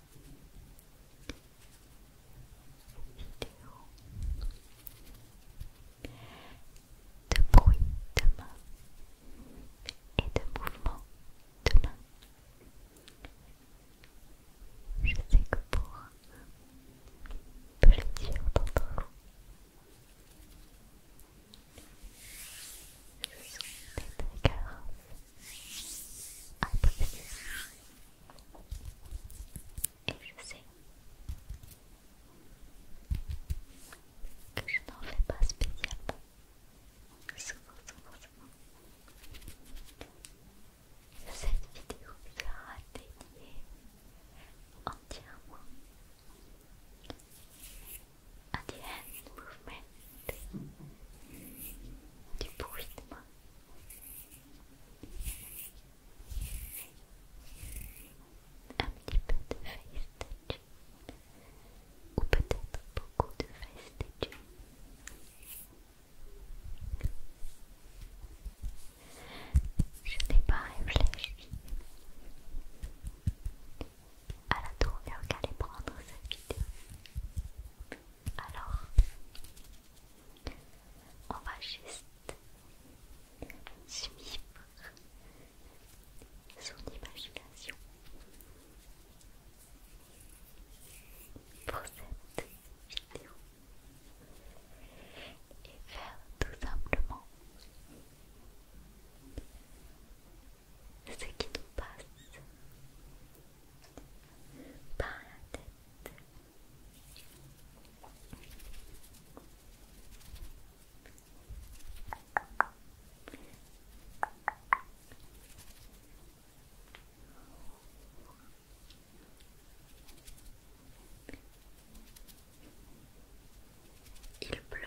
de bruit de main et de mouvement de main. Je sais que pour un plusieurs d'entre vous, ce sont des triggers apprécié. Et je sais que je n'en fais pas spécialement. Souvent, souvent, souvent. Cette vidéo sera dédiée entièrement à The Hand Movement du bruit de moi. Un petit peu de face ou peut-être beaucoup de face Je n'ai pas réfléchi à la tournure qu'allait prendre cette vidéo. Alors, on va juste suivre son imagination pour cette vidéo et faire tout simplement ce qui nous passe par la tête. Il pleut.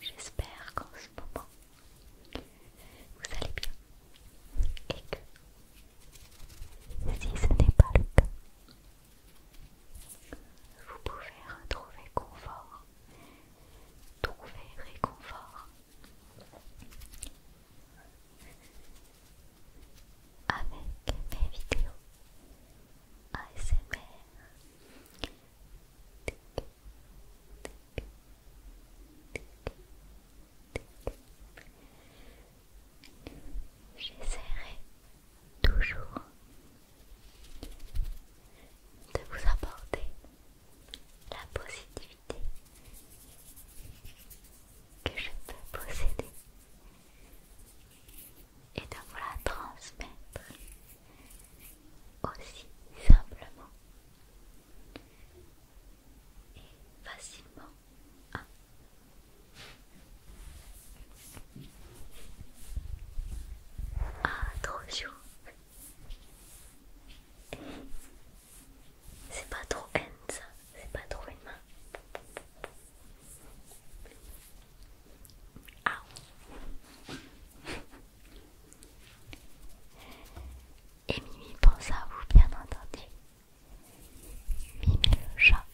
J'espère qu'en ce moment vous allez bien et que si ce n'est pas le cas, vous pouvez retrouver confort, trouver réconfort avec mes vidéos ASMR. J'essaierai toujours de vous apporter la positivité que je peux posséder et de vous la transmettre aussi simplement et facilement. à ah, c'est pas trop ends ça, c'est pas trop une main. Et Mimi pense à vous, bien entendu. Mimi le chat,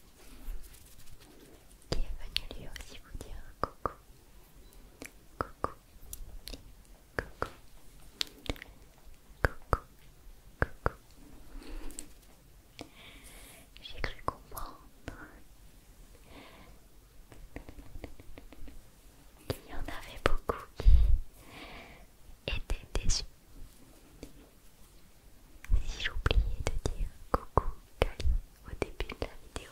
qui est venu lui aussi vous dire coucou. Coucou coucou, coucou, coucou. J'ai cru comprendre qu'il y en avait beaucoup qui étaient déçus. J'ai oublié de dire coucou au début de la vidéo.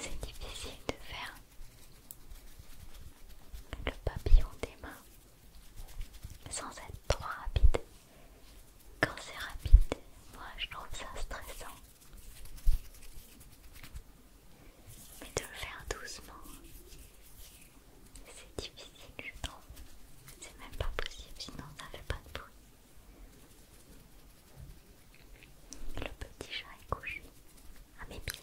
C'est difficile de faire le papillon des mains sans être trop rapide. Quand c'est rapide, moi je trouve ça stressant. Mais de le faire doucement, c'est difficile, je trouve. C'est même pas possible, sinon ça fait pas de bruit. Le petit chat est couché à mes pieds.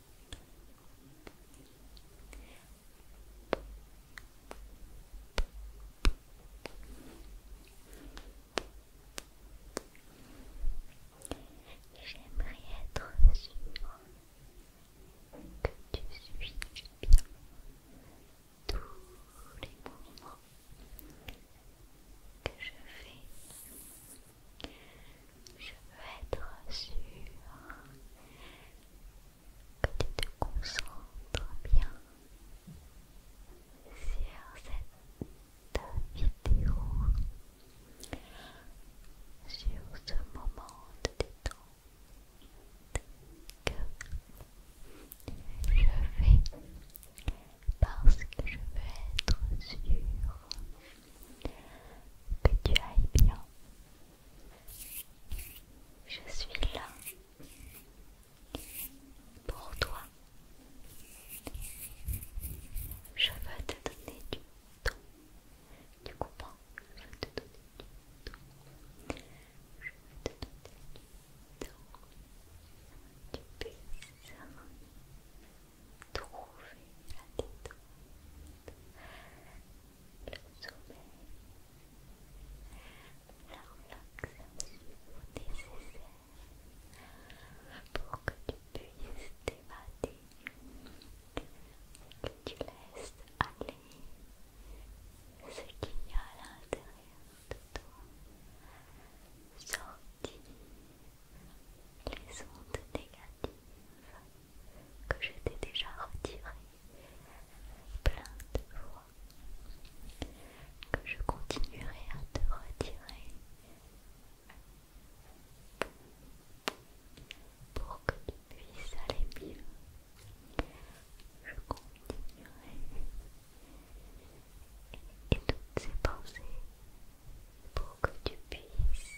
J'aimerais être sûre que tu suis bien tous les moments que je fais. Je veux être sûr que tu te concentres bien sur cette vidéo, sur ce moment de détente que je fais parce que je veux être sûr. Que tu ailles bien. Je suis là pour toi. Je veux te donner du temps. Du coup, Je veux te donner du temps. Je veux te donner du temps. Tu puisses trouver la détente, le sommeil, la relaxation nécessaire pour que tu puisses t'évader que tu laisses aller ce qu'il y a à l'intérieur de toi sortir les ondes négatives que je t'ai déjà retiré plein de fois, que je continuerai à te retirer pour que tu puisses aller mieux. Je continuerai et, et toutes ces pensées pour que tu puisses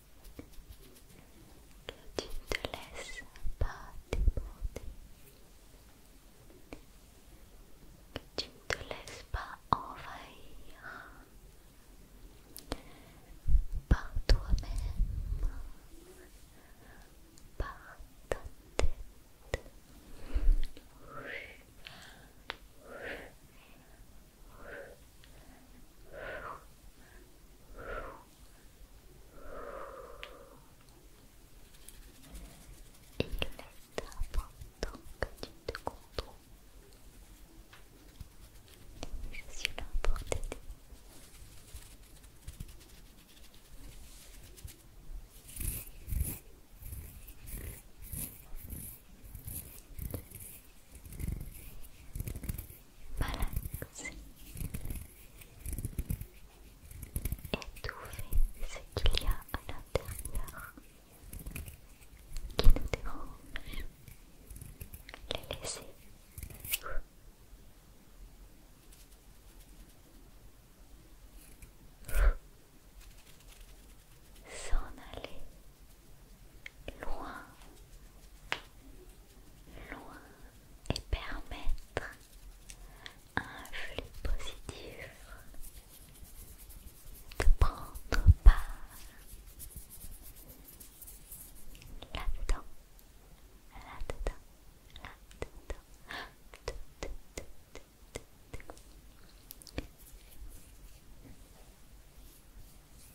que tu ne te laisses pas déborder, que tu ne te laisses pas envahir par toi-même, par ta tête. Il est important que tu te contrôles. Je suis là pour t'aider et étouffez ce qu'il y a à l'intérieur qui nous dérange, les laisser S'en aller loin, loin et permettre un flux positif de prendre part là-dedans, là-dedans, là-dedans.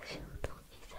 passe sur ton visage.